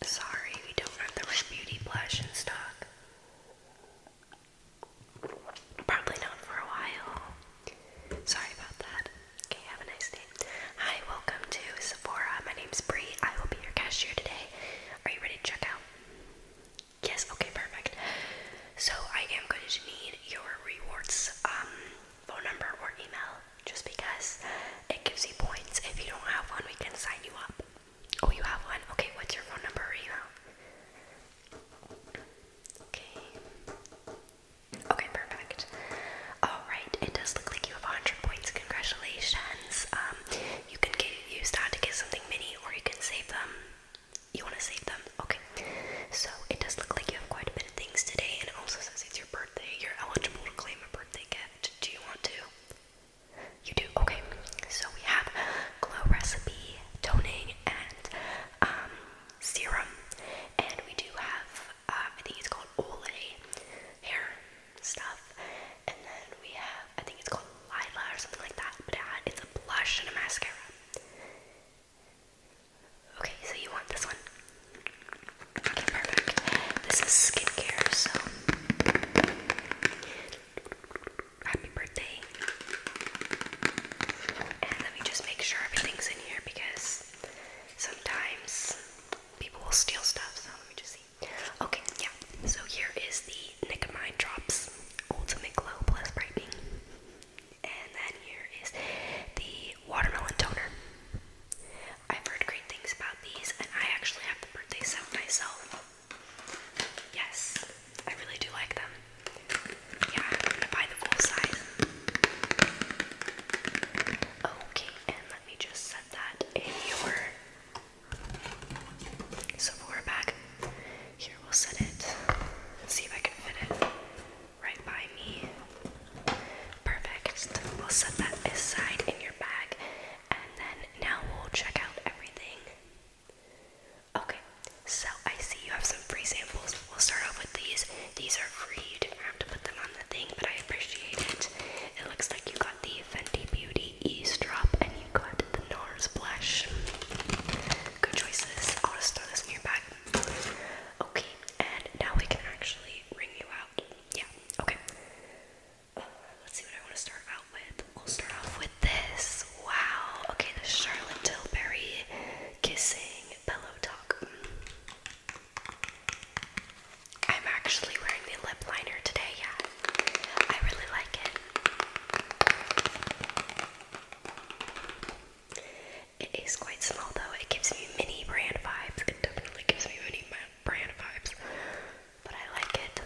Sorry, we don't have the Rare Beauty blush in stock. Probably not for a while. Sorry about that. Okay, have a nice day. Hi, welcome to Sephora. My name's Bree. I will be your cashier today. Are you ready to check out? Yes, okay, perfect. So I am going to need your rewards um, phone number or email just because it gives you points. If you don't have one, we can sign you up. Oh, you have one? Okay, what's your phone number or Okay. Okay, perfect. Alright, it does look like you have 100 points. Congratulations. Um, you can get, use that to get something mini or you can save them. You want to save them? Okay. So, it does look like you have quite a bit of things today and it also says it's your birthday. You're eligible to claim a birthday gift. Do you want to? You do? Okay. So we have glow recipe, toning, and um, serum. And we do have, um, I think it's called Olay hair stuff. And then we have, I think it's called Lila or something like that. But it's a blush and a mascara. Okay, so you want this one? Okay, perfect. This is skincare, so happy birthday. And let me just make sure everything's in here because sometimes people will steal stuff, so let me just see. Okay, yeah. So here is the Nicomine Drops Ultimate Glow Plus Brightening. And then here is the Watermelon Toner. I've heard great things about these, and I actually have the birthday set myself. Yes, I really do like them. Yeah, I'm gonna buy the full size. Okay, and let me just set that in your Sephora bag. Here, we'll set it. See if I can fit it right by me. Perfect. We'll set that aside in bag, and then now we'll check out everything. Okay, so I see you have some free samples. We'll start off with these. These are free, you didn't have to put them on the thing, but I appreciate it. It looks like you got the Fenty Beauty Eavesdrop and you got the NARS blush. Good choices. I'll just throw this in your bag. Okay, and now we can actually ring you out. Yeah, okay. Let's see what I want to start out with. We'll start off with this. Wow. Okay, the Charlotte Tilbury Kissing Pillow Talk. I'm actually wearing the lip liner today, yeah. I really like it. It is quite small though. It gives me mini brand vibes. It definitely gives me mini brand vibes, but I like it.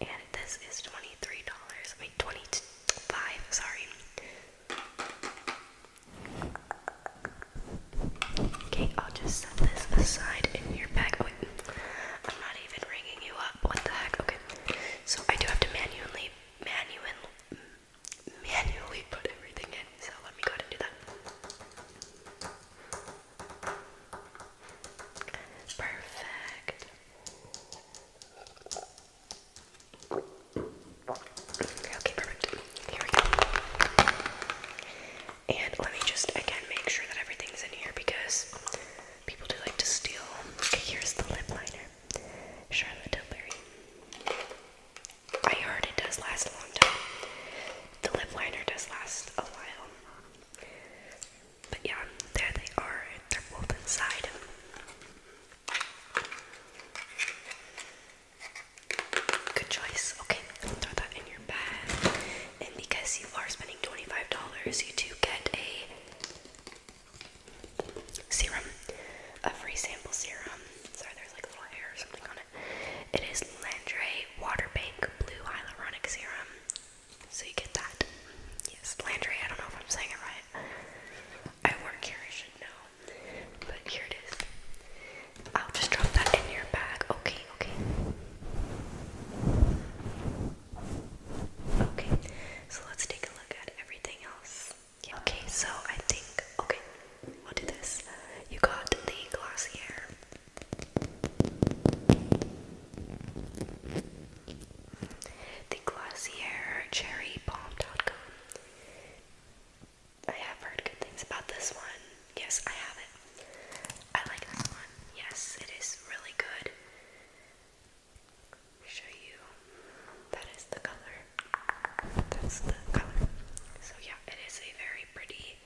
And this is $23, I 25 sorry. Okay, I'll just set this aside in your bag. Oh, wait. I'm not even ringing you up. What the heck? Okay. So I do have to manually manual, manually put everything in. So let me go and do that. Perfect. Okay, perfect. Here we go. And let me just again make sure that everything's in here because people do like to steal. Okay, here's the lip liner. Charlotte Tilbury. I heard it does last a long time. The lip liner does last a while. But yeah, there they are. They're both inside. Good choice. Okay, throw that in your bag. And because you are spending $25, you do get a Serum. A free sample serum. Sorry, there's like a little hair or something on it. It is Landray Waterbank Bank Blue Hyaluronic Serum. So you get that. Yes, Landray. I don't know if I'm saying it right. I work here, I should know. But here it is. I'll just drop that in your bag. Okay, okay. Okay, so let's take a look at everything else. Okay, so I think, okay, we'll do this. You got the glossier. The Glossier Cherry Balm.com. I have heard good things about this one. Yes, I have it. I like this one. Yes, it is really good show you. That is the color. That's the color. So yeah, it is a very pretty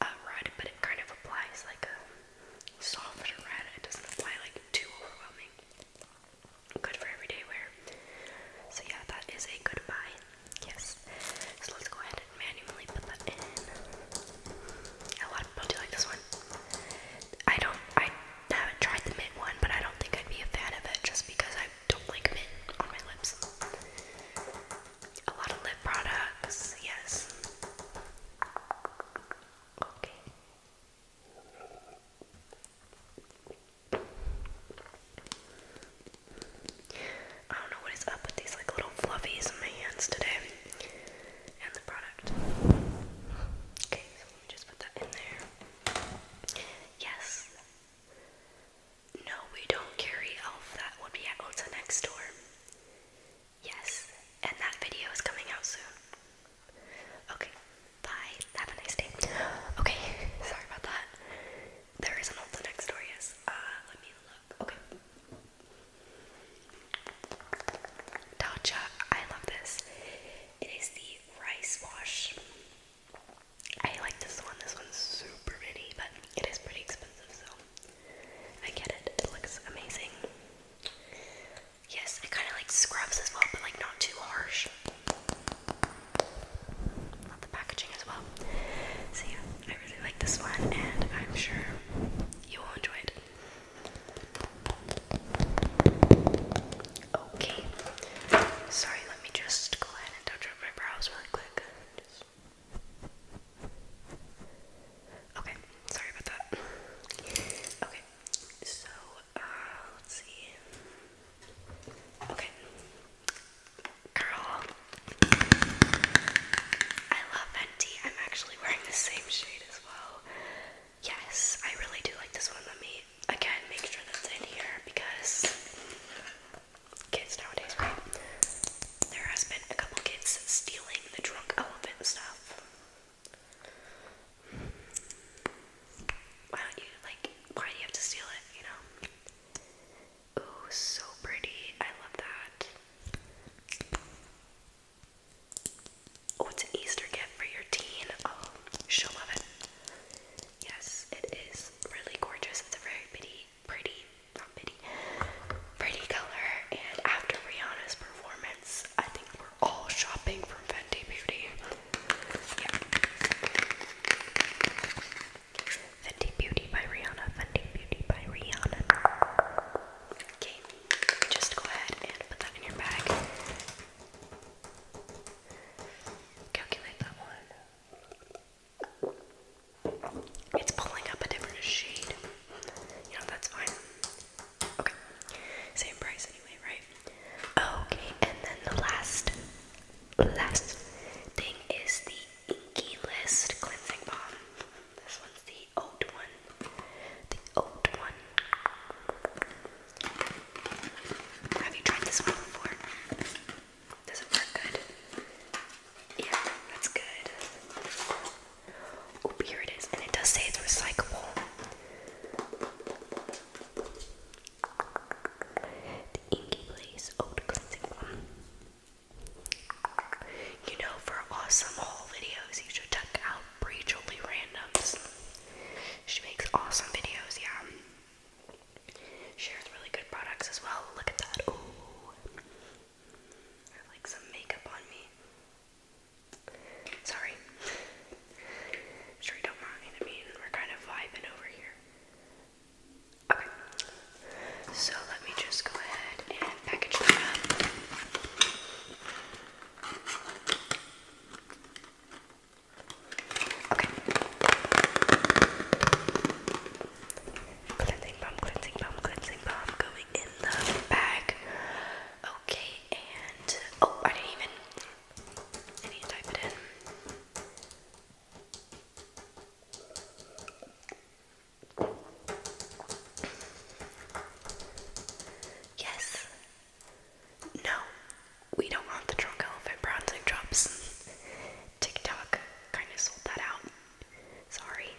uh, red, but it kind of applies like a red. It doesn't apply like too overwhelming. Good for everyday wear. So yeah, that is a good buy. Yes. So let's go ahead and manually put that in. A lot of people do like this one. I don't. I I haven't tried the mint one, but I don't think I'd be a fan of it just because I don't like mint on my lips. A lot of lip products, yes. Okay. I don't know what is up with these like little fluffies in my hands today. And the product. Okay, just put that in there. Yes. No, we don't carry elf. That would be at next door. Yes. And that video is coming out soon. Okay. Bye. Have a nice day. Okay. Sorry about that. There is an Ulta next door, yes. Uh, let me look. Okay. Tatcha, I love this. It is the rice wash. I like this one. This one's super mini, but it is pretty expensive, so I get it. It looks amazing. Yes, I kind of like scrubs as well, but like not too harsh. Love the packaging as well. So yeah, I really like this one, and I'm sure you will enjoy it. Okay. Sorry, let me just go ahead and touch up my brows really quick. Okay, sorry about that. Okay, so, uh, let's see. Okay. Girl. I love Fenty. I'm actually wearing the same shade as well. Yes, I really do like this one. Let me again make sure that's in here because kids nowadays, right? There has been a couple kids stealing the drunk elephant stuff. Why don't you like? Why do you have to steal it? You know. Ooh, so pretty. I love that. Oh, it's an Easter gift for your teen. Oh, she'll love it. Yes, it is really gorgeous. It's a very pretty, pretty, not pretty, pretty color. And after Rihanna's performance, I think we're all shopping from Fenty Beauty. Yeah. Fenty Beauty by Rihanna. Fenty Beauty by Rihanna. Okay just go ahead and put that in your bag. Calculate that one. It's pulling up a different shade. You know, that's fine. Okay. Same price anyway, right? Okay, and then the last, last thing is the Inky List Cleansing Balm. This one's the the old one. The old one. Have you tried this one before? Does it work good? Yeah, that's good. Oh, here it is. And it does say it's recyclable. The Inky Blaze Old Cleansing Balm. You know, for awesome haul videos, you should check out Bree Randoms. She makes awesome videos, yeah. Shares really good products as well. Look at that. Ooh. like some makeup on me. Sorry. I'm I mean, we're kind of vibing over here. Okay. So let me just go ahead and package that up. Okay. Cleansing balm, cleansing balm, cleansing balm going in the bag. Okay, and oh, I didn't even. I need type it in. Yes. No, we don't want the drunk elephant bronzing drops. TikTok kind of sold that out. Sorry.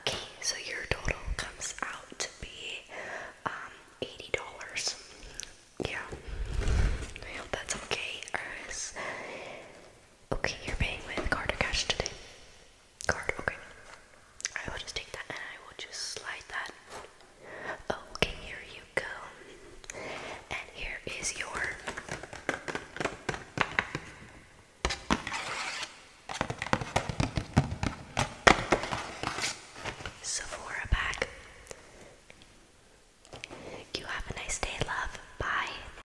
Okay, so your total comes out to be um, $80. Yeah. I hope that's okay. Or Okay, you're paying with card or cash today? Card, okay. I will just take that and I will just slide that. Okay, here you go. And here is your. Sephora bag. You have a nice day, love. Bye.